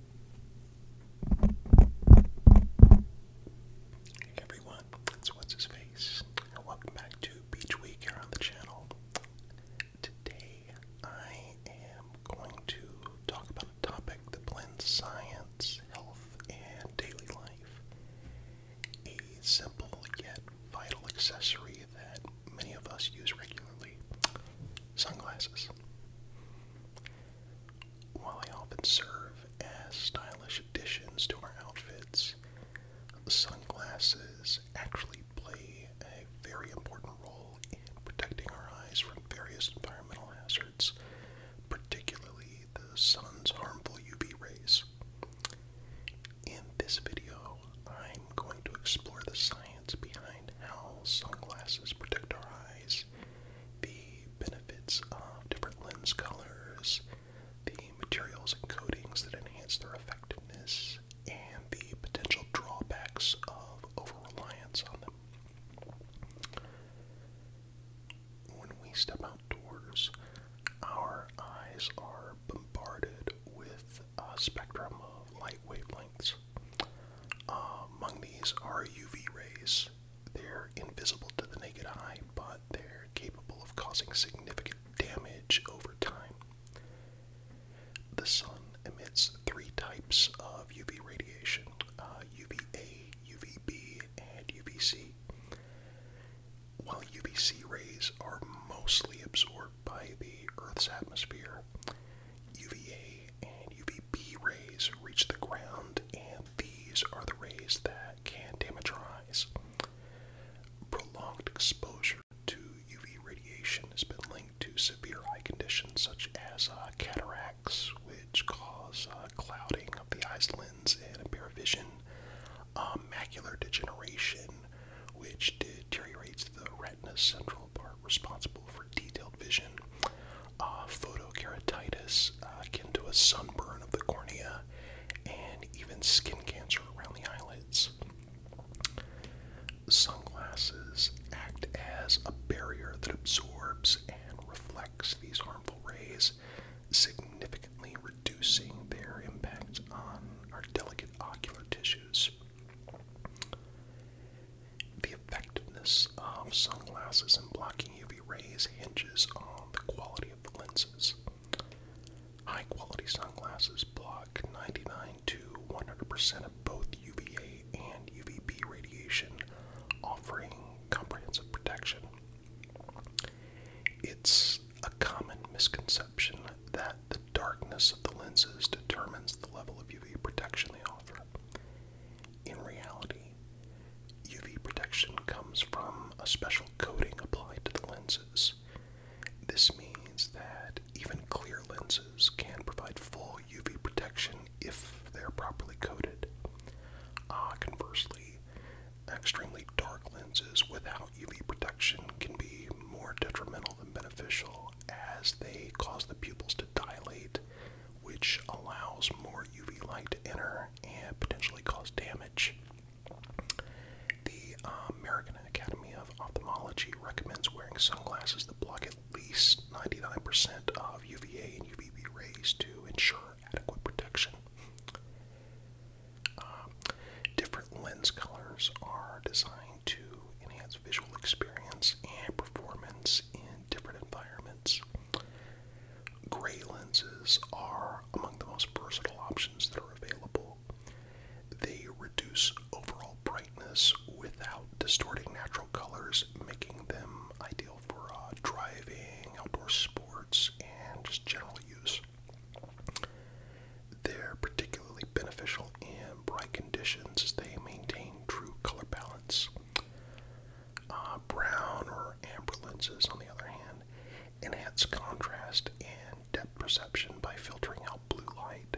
Hey everyone, it's What's His Face, welcome back to Beach Week here on the channel. Today I am going to talk about a topic that blends science, health, and daily life. A simple yet vital accessory that many of us use regularly sunglasses. While they often serve as stylish additions to our outfits, sunglasses actually play a very important role in protecting our eyes from various environmental hazards, particularly the sun's harmful UV rays. In this video, I going to explore the science behind how sunglasses protect our eyes, the benefits of different lens colors, the materials and coatings that enhance their effectiveness, and the potential drawbacks of over on them. When we step outdoors, our eyes are bombarded with uh, spectrum of light wavelengths. Uh, among these are UV rays. They're invisible to the naked eye, but they're capable of causing significant damage over time. The sun emits three types of UV radiation uh, UVA, UVB, and UVC. While UVC rays are mostly absorbed by the Earth's atmosphere. UVA and UVB rays reach the ground, and these are the rays that can damage our eyes. Prolonged exposure to UV radiation has been linked to severe eye conditions such as uh, cataracts, which cause uh, clouding of the eye's lens and impair vision, uh, macular degeneration, which deteriorates the retina's central part responsible for detailed vision. Uh, photokeratitis, uh, akin to a sunburn of the cornea, and even skin cancer around the eyelids. Sunglasses act as a barrier that absorbs and reflects these harmful rays, significantly reducing their impact on our delicate ocular tissue. The effectiveness of sunglasses in blocking UV rays hinges on the quality of the lenses. High quality sunglasses block 99 to 100% of both UVA and UVB radiation, offering comprehensive protection. It's a common misconception that the darkness of the lenses determines the level of UV protection they offer. In reality, UV protection comes from a special coating applied to the lenses. This means that even clear lenses can provide full UV protection if they're properly coated. Uh, conversely, Extremely dark lenses without UV protection can be more detrimental than beneficial as they cause the pupils to dilate, which allows more UV light to enter and potentially cause damage. The uh, American Academy of Ophthalmology recommends wearing sunglasses that block at least 99% of UVA and UVB rays to ensure adequate protection. Um, different lens colors are designed to enhance visual experience and performance in different environments. Gray lenses are among the most versatile options that are available. They reduce overall brightness without distorting natural colors, making them ideal for uh, driving, outdoor sports, and just general use. They're particularly beneficial in bright conditions as they maintain true color balance. Uh, brown or amber lenses, on the other hand, enhance contrast and depth perception by filtering out blue light.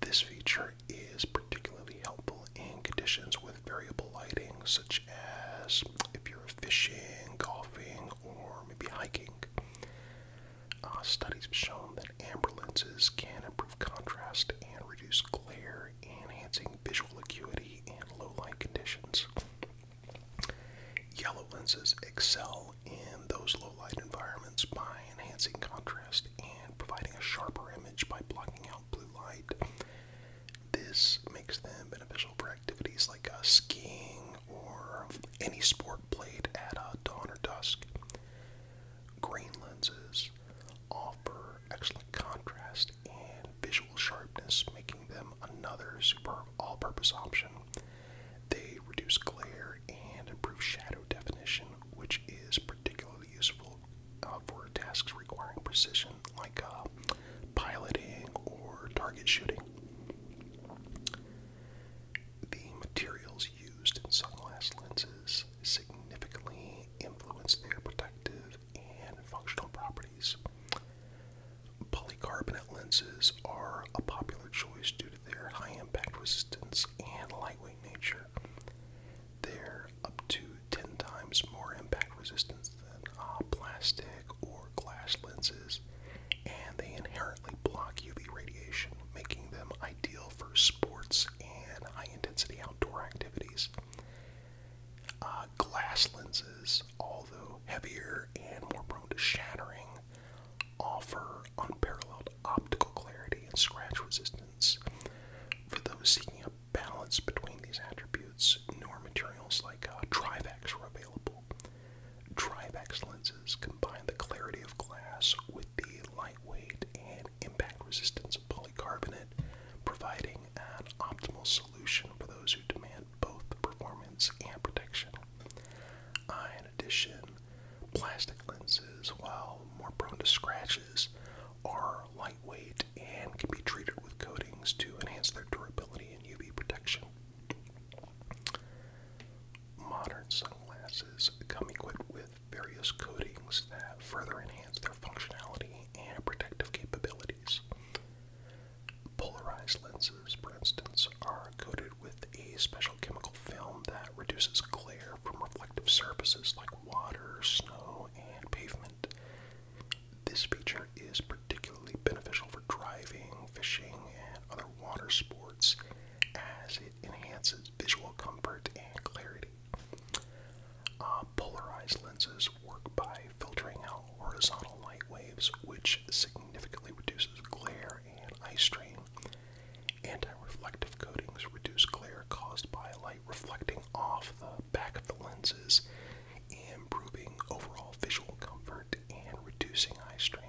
This feature is particularly helpful in conditions with variable lighting, such as if you're fishing, golfing, or maybe hiking. Uh, studies have shown that amber lenses can improve contrast and reduce glare, enhancing visual acuity in low light conditions. Yellow lenses excel in those low light environments by enhancing contrast and providing a sharper image by blocking out blue light. This makes them beneficial for activities like uh, skiing or any sport played at uh, dawn or dusk. Grain lenses offer excellent contrast and visual sharpness, making them another super all purpose option. They reduce glare and improve shadow definition, which is particularly useful uh, for tasks requiring precision, like uh, piloting or target shooting. The materials used in sunglass lenses significantly influence their protective and functional properties. Polycarbonate lenses are a popular choice due to their high impact resistance and lightweight nature they're up to 10 times more impact resistance than uh, plastic or glass lenses, and they inherently block UV radiation, making them ideal for sports and high intensity outdoor activities. Uh, glass lenses, although heavier and more prone to shattering, offer unparalleled optical clarity and scratch resistance for those seeking a balance between these attributes, nor materials like uh, Trivax were available. Trivax lenses combine the clarity of glass with the lightweight and impact resistance of polycarbonate, providing an optimal solution for those who demand both performance and protection. Uh, in addition, plastic lenses, while more prone to scratches, are lightweight and can be treated with coatings to enhance their durability and UV protection. Modern sunglasses come equipped with various coatings that further enhance their functionality and protective capabilities. Polarized lenses, for instance, are coated with a special chemical film that reduces glare from reflective surfaces like water, snow, and pavement. This feature is particularly beneficial for driving, fishing, and other water sports as it enhances visual comfort and clarity. Uh, polarized lenses work by filtering out horizontal light waves, which significantly reduces glare and eye strain, Anti-reflective coatings reduce glare caused by light reflecting off the back of the lenses, improving overall visual comfort and reducing eye strain.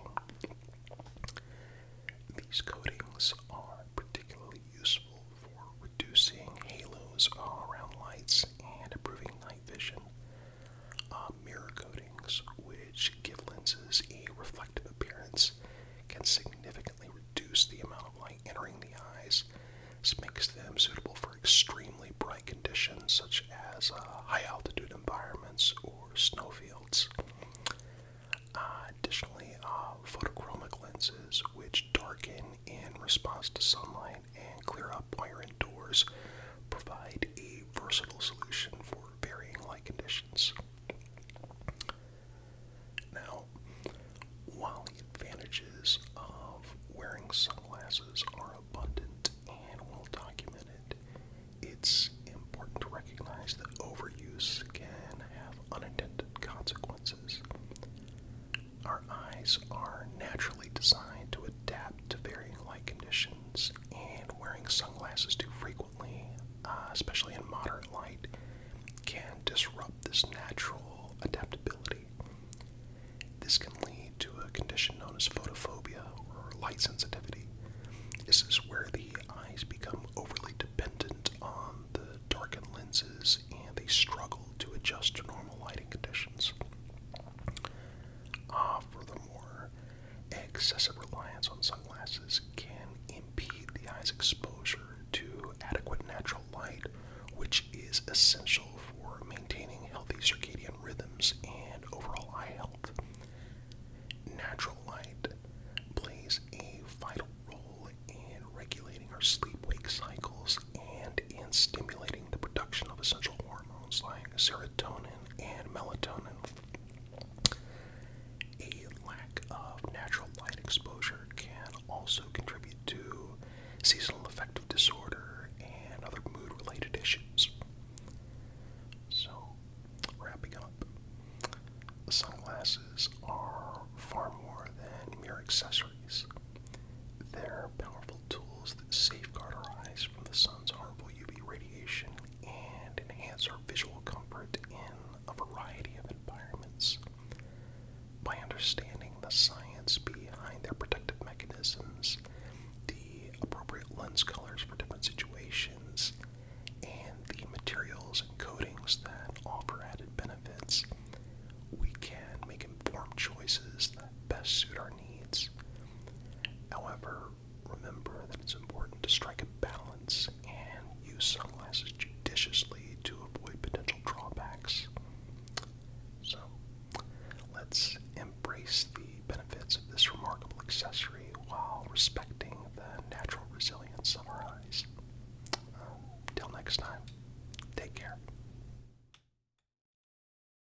These coatings are particularly useful for reducing halos around lights and improving night vision. Uh, mirror coatings, which give lenses a reflective appearance, can significantly reduce the amount of light entering the eyes. This makes them suitable for extremely bright conditions such as uh, high altitude environments or snowfields. Uh, additionally, uh, photochromic lenses, which darken in response to sunlight and clear up while indoors, provide a versatile solution for varying light conditions. Now, while the advantages of wearing sunglasses are abundant and well documented, it's important to recognize that overuse can have unintended consequences. Our eyes are naturally designed to adapt to varying light conditions, and wearing sunglasses too frequently uh, especially in moderate light, can disrupt this natural adaptability. This can lead to a condition known as photophobia or light sensitivity. This is where the eyes become overly dependent on the darkened lenses and they struggle to adjust to normal lighting conditions. Uh, furthermore, Excessive reliance on sunglasses can impede the eye's exposure to adequate natural light, which is essential for maintaining healthy circadian rhythms and overall eye health. Natural light plays a vital role in regulating our sleep wake cycles and in stimulating the production of essential hormones like serotonin and melatonin a lack of natural light exposure can also contribute to seasonal affective disorder and other mood related issues. So, wrapping up, sunglasses are far more than mere accessories. They're powerful tools that safeguard our eyes from the sun's harmful UV radiation, and enhance our visual comfort in a variety of environments. By understanding the science behind their protective mechanisms, the appropriate lens colors for different situations, and the materials and coatings that offer added benefits, we can make informed choices that best suit our needs. However, remember that it's important to strike a balance and use sunglasses judiciously to avoid potential drawbacks. So, let's embrace the benefits of this remarkable accessory while respecting the natural resilience of our eyes. Until um, next time, take care.